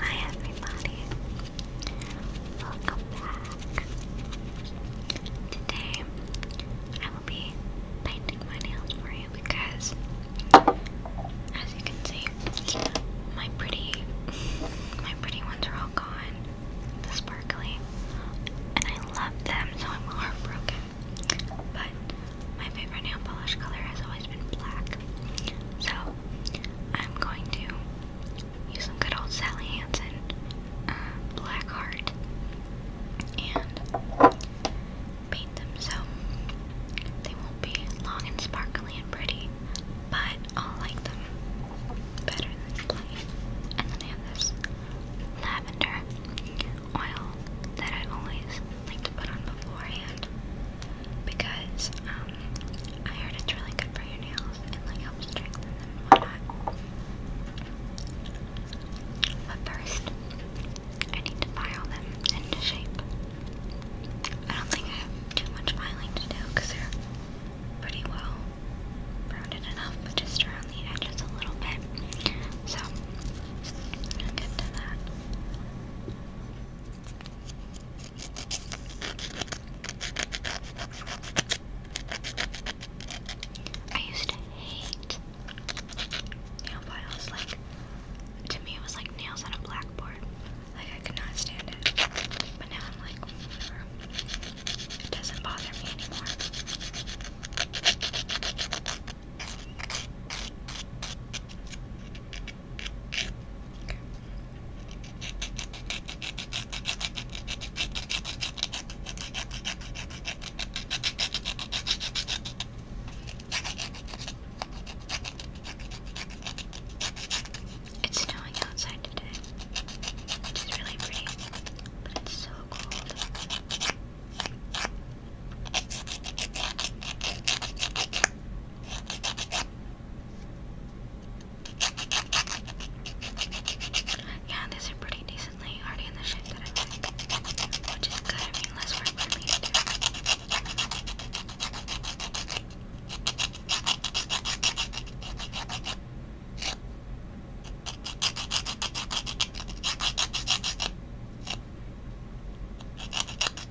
Hi everybody, welcome back. Today I will be painting my nails for you because, as you can see, my pretty, my pretty ones are all gone, the sparkly, and I love them so I'm heartbroken. But my favorite nail polish color has always been black, so I'm going to use some good old Sally Hansen uh, black heart and paint them so they won't be long and sparkly and pretty, but I'll like them better than plain. And then I have this lavender oil that I always like to put on beforehand because um, I heard it's really good for your nails and like helps strengthen them and whatnot. But first, I need to file them into shape. I don't think I have too much filing to do because they're pretty well rounded enough, but just around the edges a little bit. So, get to that. I used to hate nail files. Like, to me, it was like nails on a blackboard. Like, I could not stand it. But now I'm like, It doesn't bother me anymore. It's snowing outside today, which is really pretty, but it's so cold. Yeah, these are pretty decently already in the shape that I like, which is good. I mean, work for me to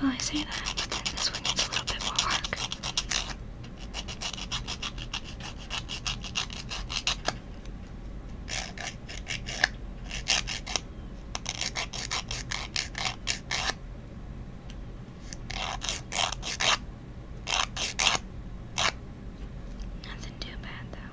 Well, I say that, this one needs a little bit more work. Nothing too bad though.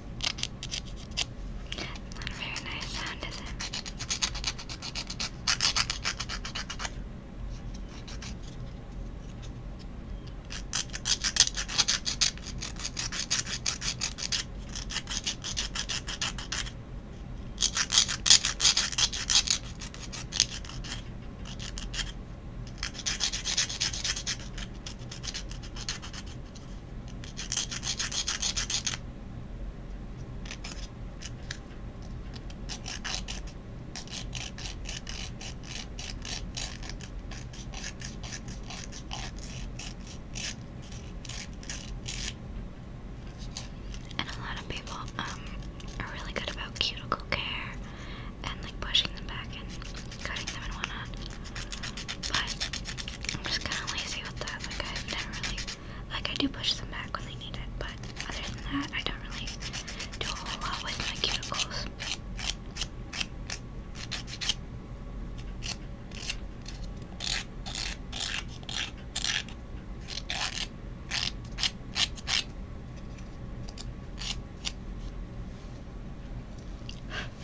Not a very nice sound, is it? And a lot of people um, are really good about cuticle care and like pushing them back and cutting them and whatnot. But I'm just kind of lazy with that. Like i never really, like I do push them back when they need it, but other than that, I don't really do a whole lot with my cuticles. I'm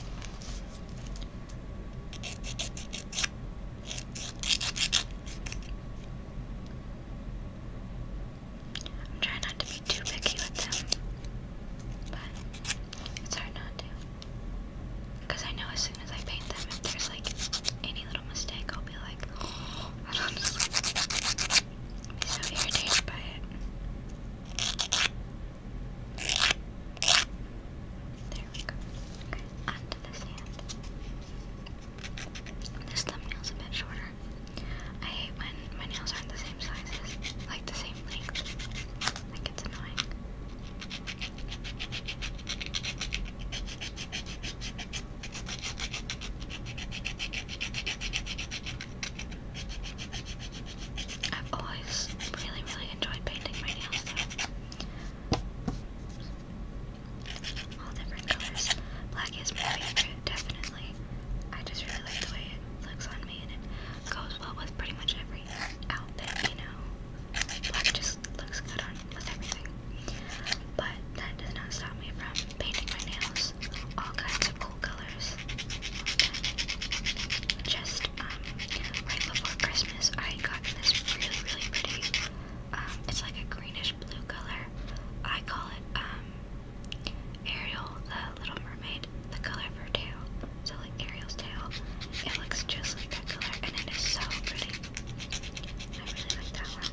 trying not to be too picky with them, but it's hard not to. Because I know as soon as I paint them, if there's like any little mistake, I'll be like, I'll be so irritated by it. There we go. Okay, onto this hand. This thumbnail's a bit shorter. I hate when my nails aren't the same sizes, like the same length. Like it's annoying. I've always really, really enjoyed painting my nails though. All different colors. Black is my favorite, definitely. I just really like the way it looks on me and it goes well with pretty much every outfit, you know. Black just looks good on with everything. But that does not stop me from painting my nails all kinds of cool colors. Just um, right before Christmas, I got this really, really pretty. Um, it's like a greenish blue color. I call it um, Ariel, the Little Mermaid, the color of her tail. So like Ariel's tail. It looks just like that color, and it is so pretty. I really like that one.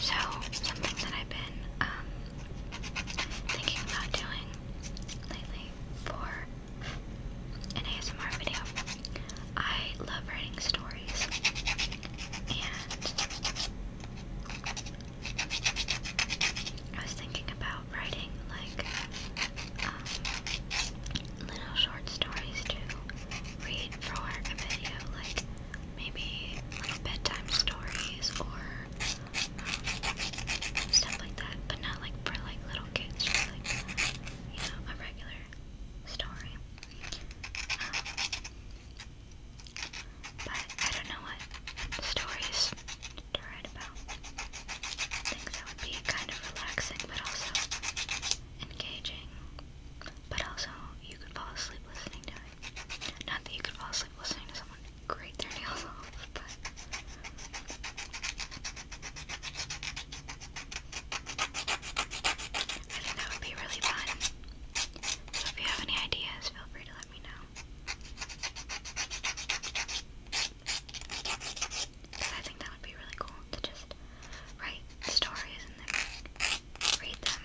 So, something that I've been um, thinking about doing lately for an ASMR video, I love writing stories, and I was thinking about writing like um, little short stories to read for a video, like maybe little bedtime stories or um, stuff like that, but not like for like little kids, just like you know a regular story. Um, but I don't know what stories to write about. Things that would be kind of relaxing but also engaging. But also, you could fall asleep listening to it. Not that you could fall asleep listening to someone grate their nails off, but. I think that would be really fun. So if you have any ideas, feel free to let me know. I think that would be really cool to just write stories and then read them.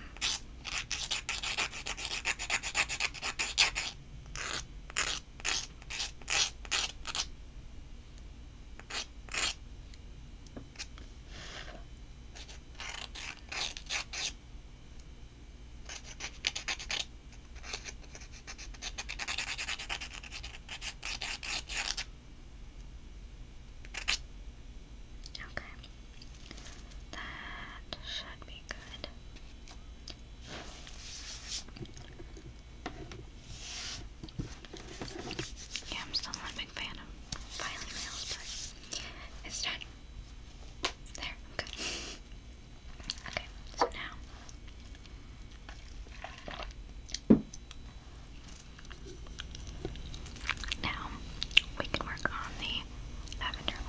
Okay. That should be good. Yeah, I'm still not a big fan of filing nails, but it's done. There, okay. Okay, so now. Now we can work on the lavender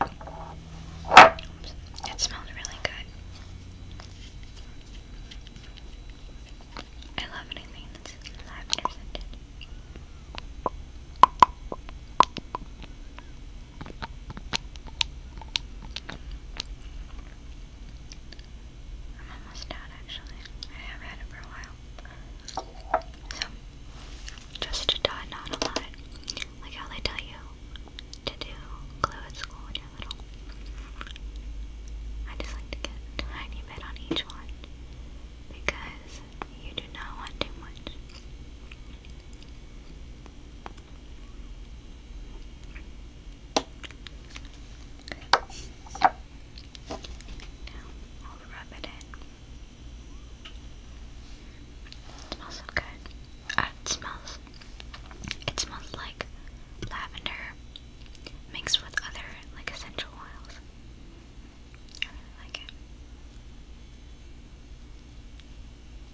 oil. it smells really good. I love anything that's lavender scented. I'm almost done actually. I have had it for a while. So, just to dot not a lot. Like how they tell you to do glue at school when you're little. I just like to get tiny bit on each one because you do not want too much. I'll rub it in. smells so good. it smells. It smells like lavender mixed with other like essential oils. I really like it.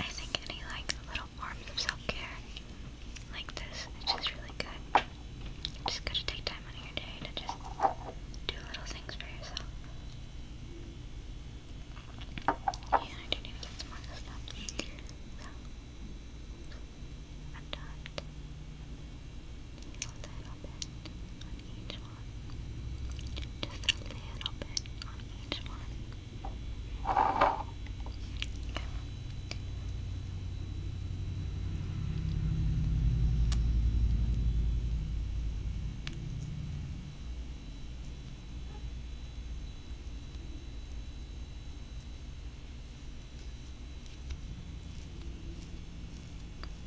I think any like little forms of self care like this is just really good. You just gotta take time out of your day to just do little things for yourself. Yeah, I didn't even get some more stuff. So, I'm done a little bit on each one. Just a little bit on each one.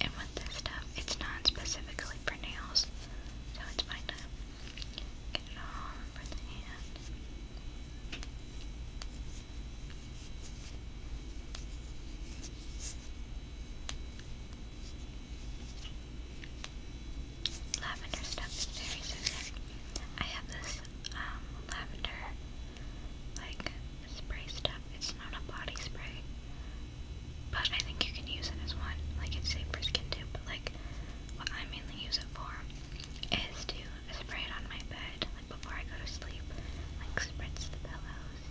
And with this stuff, it's not specifically for nails, so it's fine to get it all over the hand. Lavender stuff is very I have this um, lavender like spray stuff. It's not a body spray, but I think you can use it as one. Like it's safe for skin too, but like what I mainly use it for is to spray it on my bed, like before I go to sleep. Like spritz the pillows,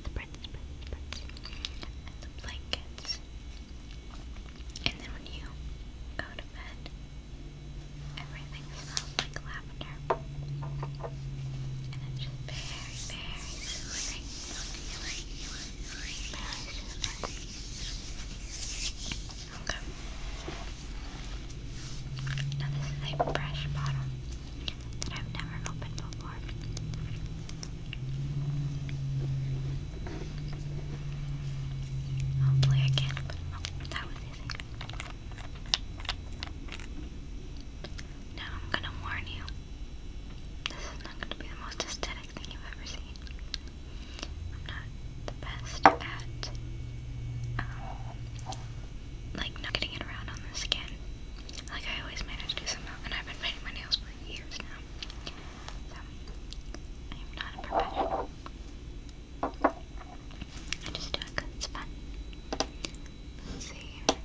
spritz, spritz, spritz, and the blankets. And then when you go to bed, everything smells like lavender. And it's just very, very soothing. Okay. Now this is a fresh bottle that I've never opened before. Hopefully I can oh, That was easy. Now I'm gonna warn you. This is not gonna be the most aesthetic thing you've ever seen. I'm not the best at um, like not it around on the skin. Like I always manage to somehow, and I've been painting my nails for years now. So, I am not a professional. I just do it because it's fun. Let's see here.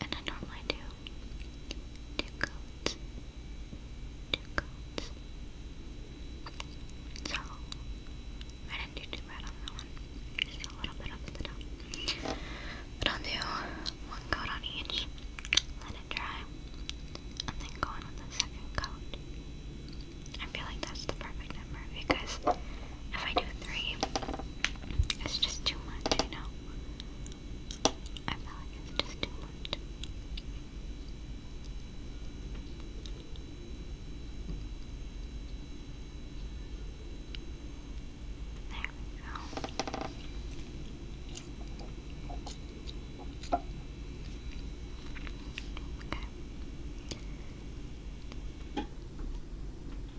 And I normally do two coats. Two coats. So I didn't do too bad on that one. Just a little bit up at the top. But I'll do one coat on each, let it dry, and then go on with the second coat. I feel like that's the perfect number because if I do three, it's just too much, you know? I feel like it's just too much. There Okay. I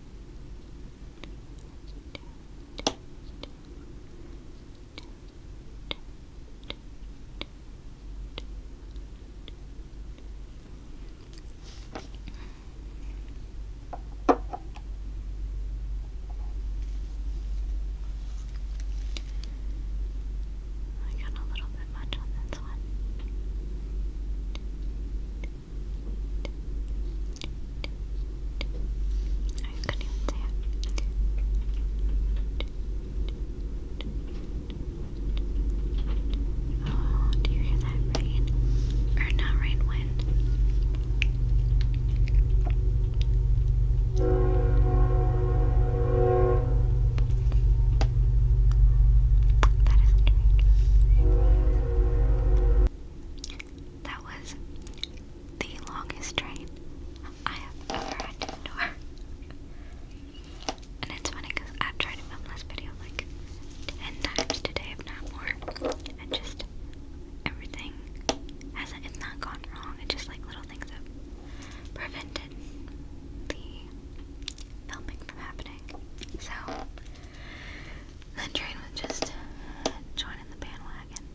got a little bit much on this one. I Oh, do you hear that rain? Or not rain, wind. That is that was the longest train I have ever had to endure. And it's funny because I've tried to film this video like 10 times today, if not more. And just everything has it's not gone wrong. It's just like little things have prevented the filming from happening. So, that train was just joining the bandwagon.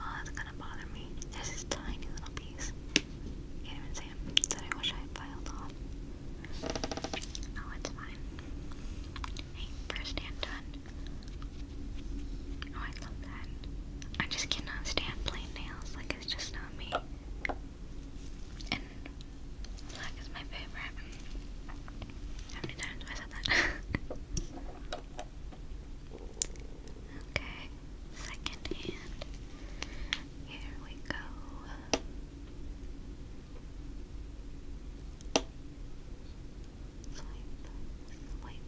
Oh, that's gonna bother me. There's this tiny little piece. Can't even see it. That I wish I filed off. Oh, it's fine. Hey, first hand done. Oh, I love that. I just cannot stand plain nails. Like, it's just not me. And black is my favorite. How many times have I said that? okay, second hand. Here we go swipe.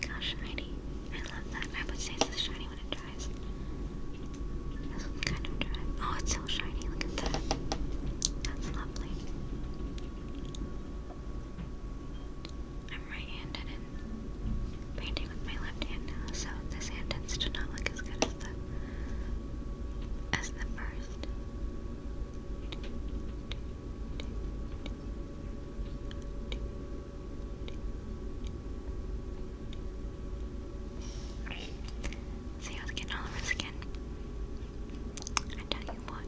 Gosh, shiny. I love that. I would say it's a shiny Oh, it's so shiny. Look at that. That's lovely. I'm right-handed and painting with my left hand now, so this hand tends not look as good as the as the first. See how it's getting all over skin? I tell you what.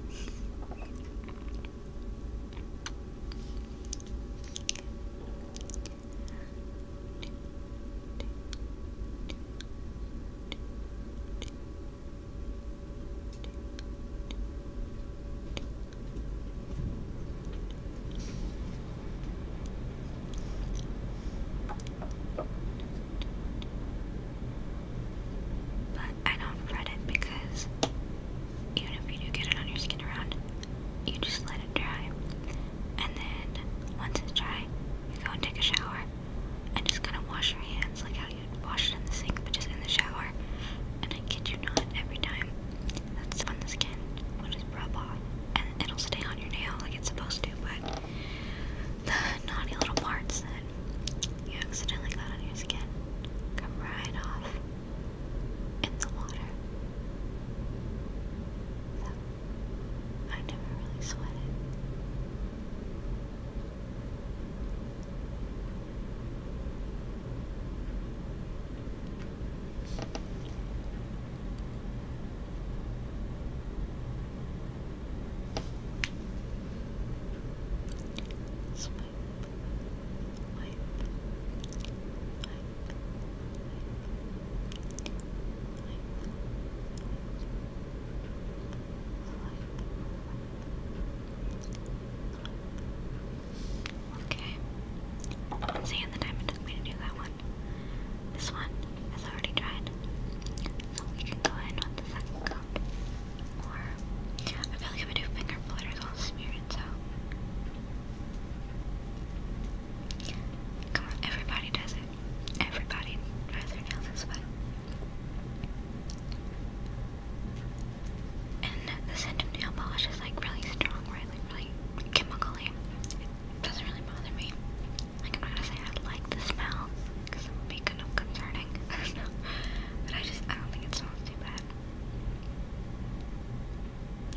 But I don't fret it because even if you do get it on your skin around, you just let it dry. And then once it's dry, you go and take a shower and just kind of wash your hands like how you'd wash it in the sink, but just in the shower. And I kid you not, every time that's on the skin will just rub off and it'll stay on your nail like it's supposed to, but the naughty little parts that you accidentally got on your skin come right off in the water. I never really sweat Swipe, wipe, Okay. See in the time took me to do that one. This one has already dried. So we can go in with the second coat. I feel like I'm gonna do finger flutters, all smeared. smear so. Come on, everybody does it. Everybody dries their nails this way. And the scent of nail polish is like really strong, right? really chemically. It doesn't really bother me. Like, I'm not gonna say I like the smell, because it would be kind of concerning. I don't know. But I just, I don't think it smells too bad.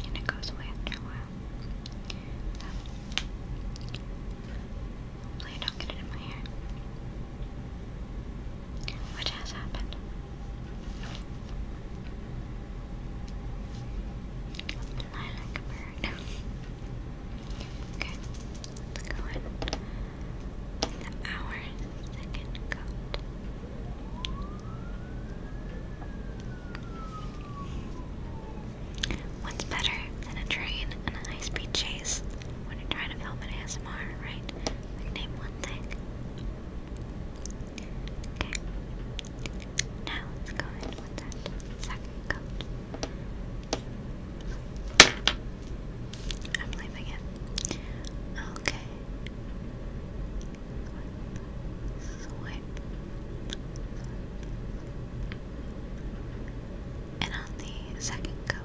And it goes away after a while. hopefully I don't get it in my hair. Which has happened. Fly like okay, let's go in. The hour second coat. What's better than a train and a high-speed chase when you're trying to film an ASMR, right? name one thing. Okay. Now let's go in with that second coat. I'm leaving it. Okay. Swipe. And on the second coat,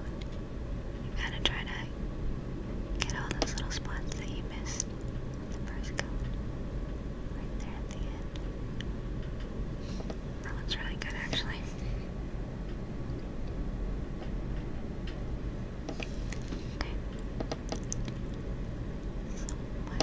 you gotta try to get all those little spots that you missed the brush color right there at the end. That looks really good actually. Okay. So flip,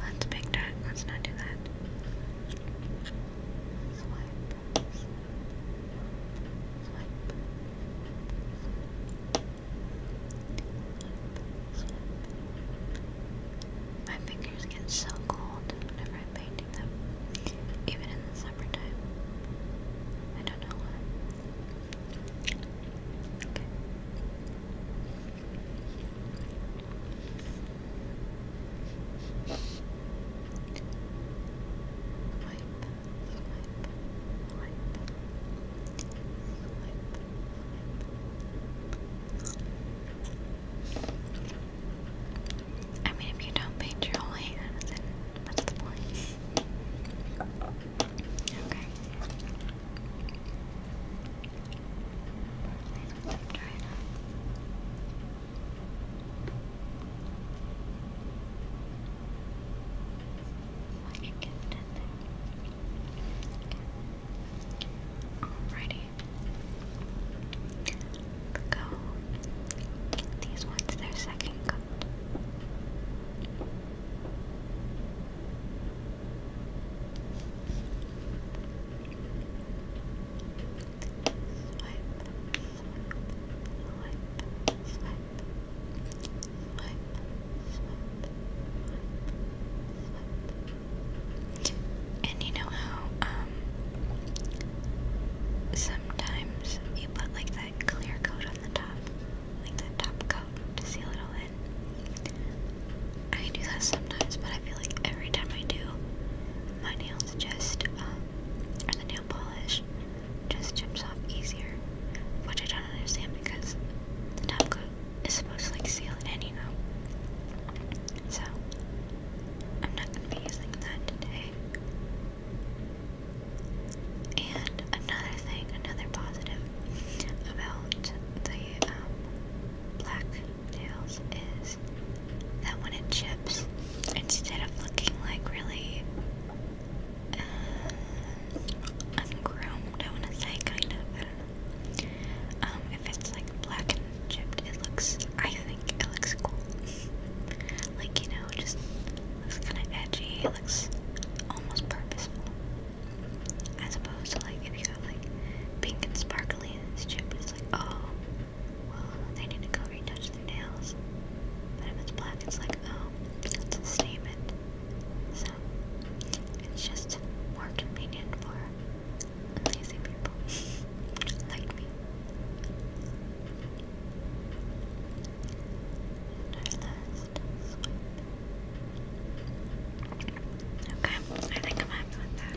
That's a big time. Let's not do that. Swipe. Swipe. My fingers get so cold whenever I'm painting them, even in the summertime. I don't know why. Okay. I mean, if you don't paint your whole hand, then what's the point? Okay. Try that. get in there. Alrighty. Go these ones their second coat. And you know how um, sometimes you put like that clear coat on the top, like that top coat to seal it all in. I do that sometimes, but I feel like every time I do, my nails just, um, or the nail polish just chips off easier, which I don't understand because the top coat is supposed to like seal it in, you know. So, I'm not gonna be using that today. And another thing, another positive about the um, black tails is that when it chips, instead of looking like really uh, I want to say kind of, Um, if it's like black and chipped, it looks, I think it looks cool. like, you know, just looks kind of edgy. It looks almost purposeful. As opposed to like if you have like pink and sparkly and this chip, it's like oh, well they need to go retouch their nails. But if it's black, it's like oh, that's a statement. So it's just more convenient for lazy people like me. And Okay, I think I'm happy with that.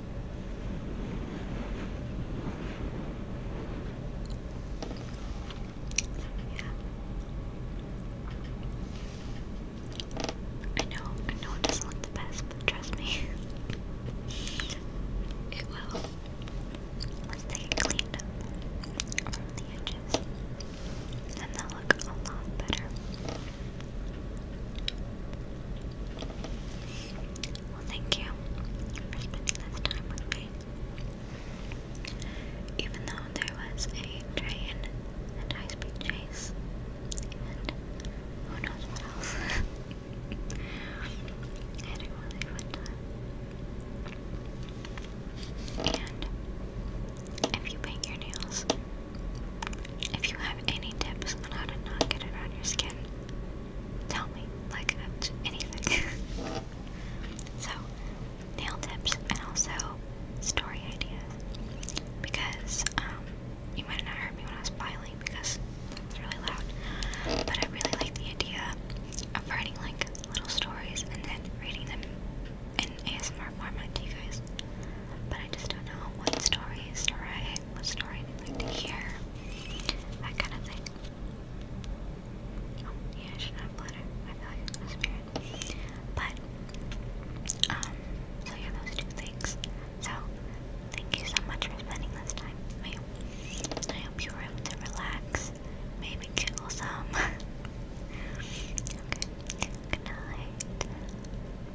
I know, I know it doesn't look the best, but trust me. it will. Once they get cleaned up from the edges, then they'll look a lot better. Well, thank you for spending this time with me. Even though there was a train and high speed chase, and who knows what else, I had a really fun time. And if you paint your nails, if you have any tips on how to not get it on your skin, tell me. Like uh, anything. so, nail tips and also story ideas. Because um, you might not heard me when I was filing because it's really loud. But I really like the idea of writing like little stories and then reading them in ASMR format to you guys. But I just don't know what stories to write like what story like to hear, that kind of thing. Oh, yeah, I should not have bladder. I feel like it's spirit. But, um, so yeah, those two things. So, thank you so much for spending this time with me. I hope you were able to relax, maybe giggle some. okay, good